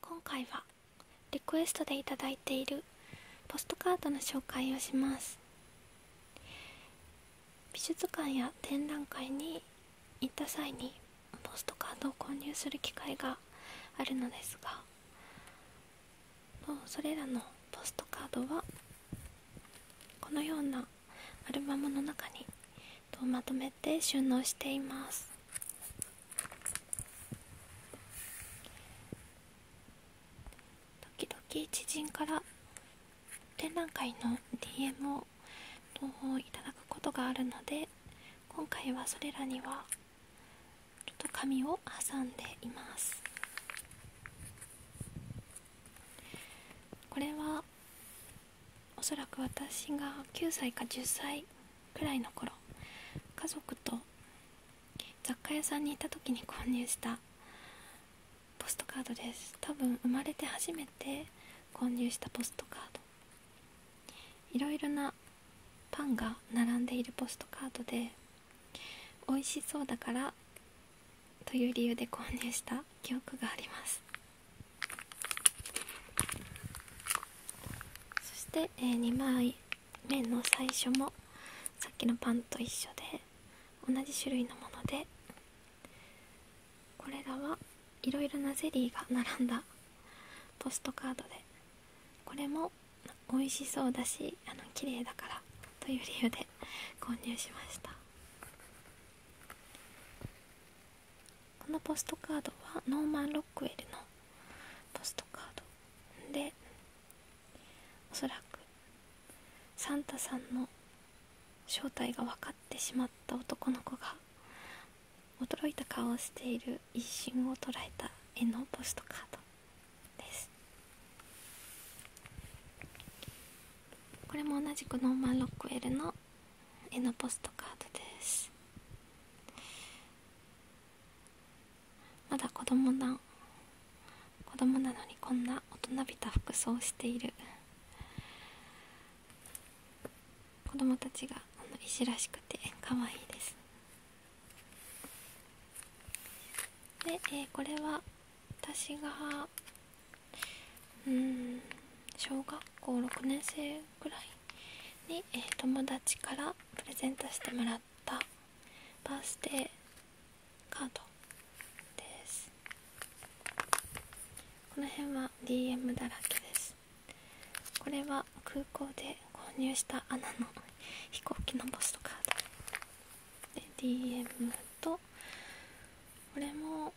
今回はリクエストでいただいているポストカードの紹介をします美術館や展覧会に行った際にポストカードを購入する機会があるのですがもうそれらのポストカードはこのようなアルバムの中にとまとめて収納しています時々知人から展覧会の DM を投稿いただくことがあるので今回はそれらにはちょっと紙を挟んでいますこれはおそらく私が9歳か10歳くらいの頃家族と雑貨屋さんにいた時に購入したポストカードです多分生まれて初めて購入したポストカードいろいろなパンが並んでいるポストカードで美味しそうだからという理由で購入した記憶がありますそして、え2枚目の最初もさっきのパンと一緒で同じ種類のものでこれらはいろいろなゼリーが並んだポストカードでこれも美味しそうだしあの綺麗だからという理由で購入しましたこのポストカードはノーマン・ロックウェルのポストカードでおそらくサンタさんの正体が分かってしまった男の子が驚いた顔をしている一瞬を捉えた絵のポストカードですこれも同じくノーマン・ロックウェルの絵のポストカードですまだ子供な子供なのにこんな大人びた服装をしている子供たちがあのらしくて可愛いいですで、えー、これは私がうん小学校6年生ぐらいに、え友達からプレゼントしてもらったバースデーカードですこの辺は DM だらけですこれは空港で購入したアの飛行機のポストカードで DM とこれも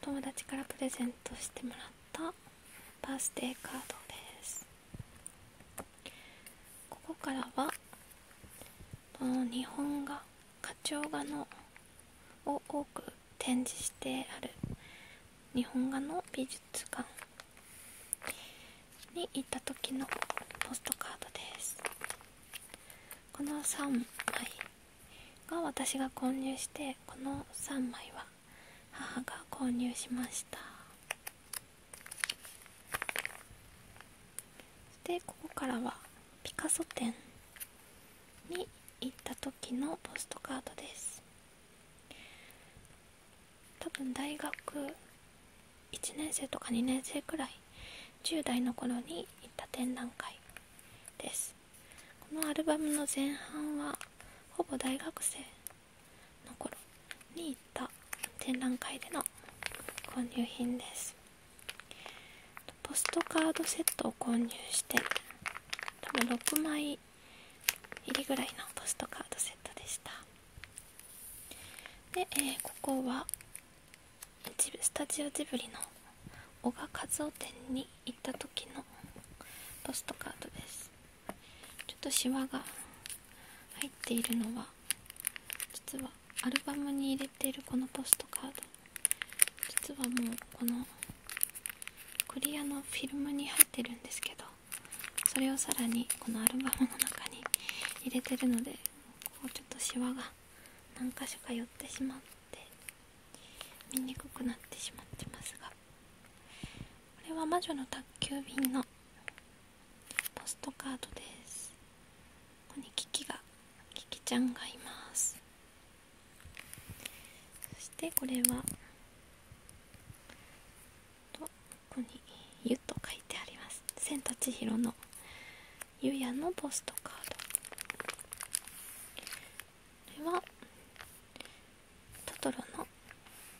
友達からプレゼントしてもらったバースデーカードですここからはこの日本画課長画のを多く展示してある日本画の美術館に行った時のポストカードですこの3枚が私が購入してこの3枚は母が購入しましたでここからはピカソ展に行った時のポストカードです多分大学1年生とか2年生くらい10代の頃に行った展覧会ですこのアルバムの前半はほぼ大学生の頃に行った展覧会での購入品ですポストカードセットを購入して多分6枚入りぐらいのポストカードセットでしたで、えここはスタジオジブリの小賀一夫店に行った時のポストカードですちょっとシワが入っているのは実はアルバムに入れているこのポストカード実はもうこのクリアのフィルムに入ってるんですけどそれをさらにこのアルバムの中に入れてるのでこうちょっとシワが何箇所か寄ってしまって見にくくなってしまってますがこれは魔女の宅急便のポストカードですここにキキがキキちゃんがいますそしてこれはとここに「ゆ」と書いてあります「千と千尋のゆや」のポストカードこれはトトロの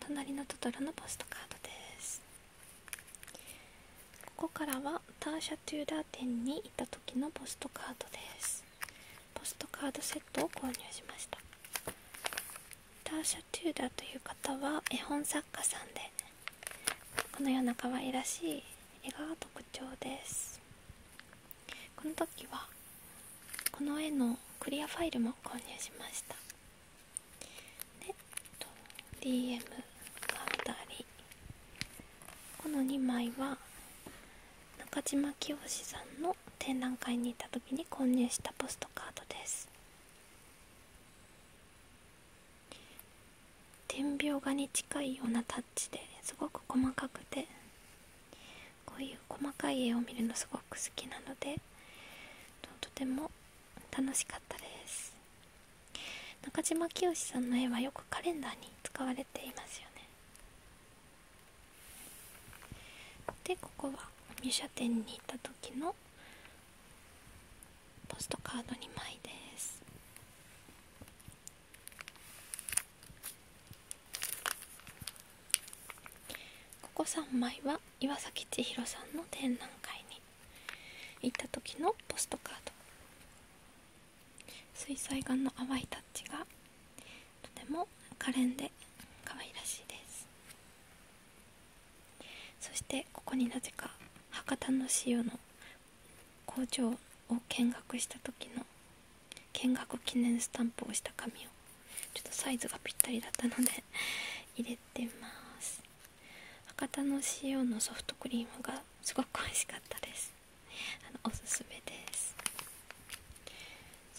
隣のトトロのポストカードですここからはターシャ・トゥーダー店に行った時のポストカードですポストカードセットを購入しましたターシャ・トゥーダーという方は絵本作家さんでこのような可愛らしい絵が特徴ですこの時はこの絵のクリアファイルも購入しましたで DM が2人この2枚は中島清さんの展覧会に行った時に購入したポストカードです点描画に近いようなタッチですごく細かくてこういう細かい絵を見るのすごく好きなのでとても楽しかったです中島清さんの絵はよくカレンダーに使われていますよねでここは入社点に行った時のポストカード2枚ですここ3枚は岩崎千尋さんの展覧会に行った時のポストカード水彩画の淡いタッチがとても可憐で可愛らしいですそしてここになぜか博多の塩の工場を見学した時の見学記念スタンプをした紙をちょっとサイズがぴったりだったので 入れてます博多の co のソフトクリームがすごく美味しかったですあのおすすめです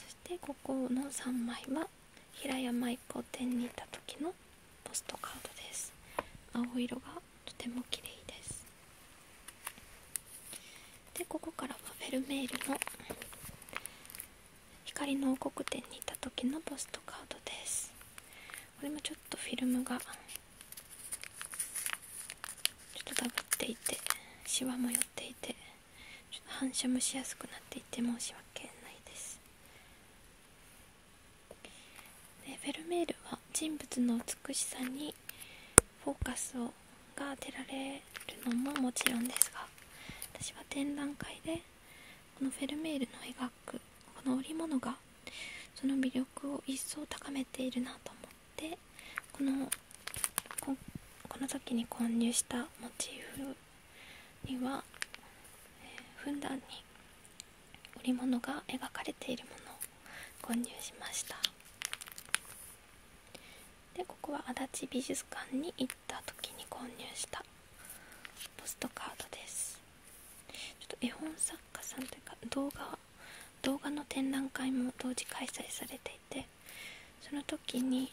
そしてここの3枚は平山一を手に入れた時のポストカードです青色がとても綺麗ですでここからはフェルメールの光の王国展にいた時のポストカードですこれもちょっとフィルムがちょっとダブっていてシワも寄っていてちょっと反射もしやすくなっていて申し訳ないですでフェルメールは人物の美しさにフォーカスをが当てられるのももちろんですが私は展覧会でこのフェルメールの描くこの織物がその魅力を一層高めているなと思ってこのここの時に購入したモチーフには、ふんだんに織物が描かれているものを購入しました。でここは足立美術館に行った時に購入したポストカードですちょっと絵本作家さんというか動画動画の展覧会も同時開催されていてその時に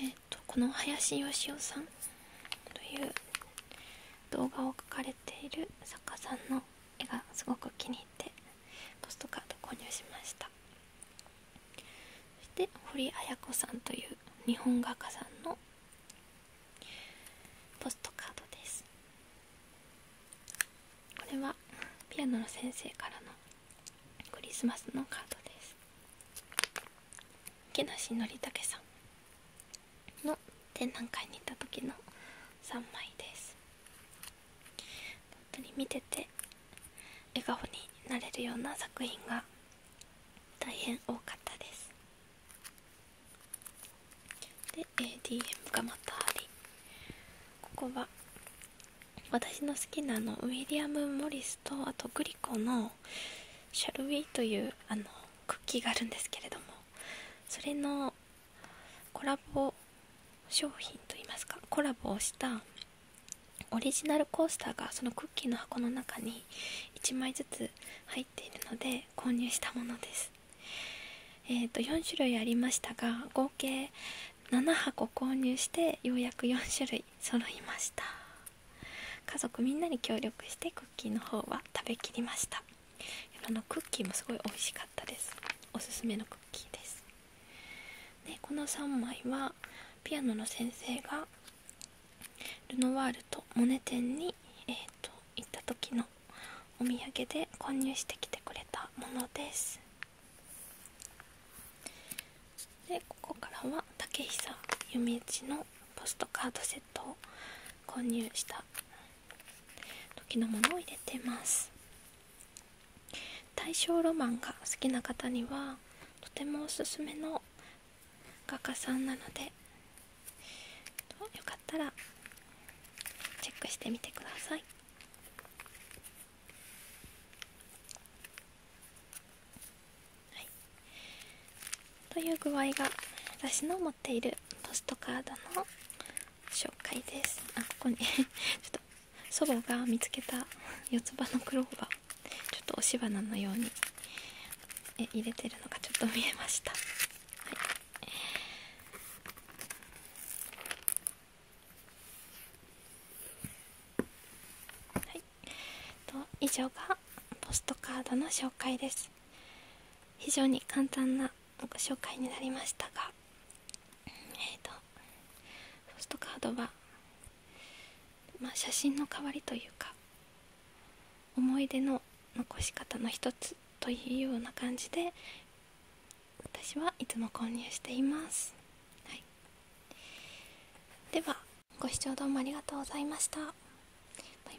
えっ、とこの林芳雄さんという動画を描かれている作家さんの絵がすごく気に入ってポストカード購入しましたそして堀綾子さんという日本画家さんのポストカードですこれはピアノの先生からのクリスマスのカードです木梨憲武さんの展覧会に行った時の3枚です本当に見てて笑顔になれるような作品が大変多かったですで ADM がまたありここは私の好きなあのウィリアム・モリスとあとグリコの「シャルウィーというあのクッキーがあるんですけれどもそれのコラボ商品といいますかコラボをしたオリジナルコースターがそのクッキーの箱の中に1枚ずつ入っているので購入したものですえーと4種類ありましたが合計7箱購入してようやく4種類揃いました家族みんなに協力してクッキーの方は食べきりましたあのクッキーもすごい美味しかったですおすすめのクッキーですでこの3枚はピアノの先生がルノワールとモネ店に、えーと、行った時のお土産で購入してきてくれたものですでここからは竹久弓道のポストカードセットを購入した時のものを入れてます大正ロマンが好きな方にはとてもおすすめの画家さんなのでよかったらチェックしてみてくださいという具合が私の持っているポストカードの紹介ですあここに ちょっと祖母が見つけた四つ葉のクローバーちょっと押し花のようにえ入れてるのがちょっと見えました、はい、以上がポストカードの紹介です非常に簡単なご紹介になりましたがえっ、とポストカードは、ま写真の代わりというか思い出の残し方の一つというような感じで私はいつも購入しています、はい、ではご視聴どうもありがとうございましたバイバイ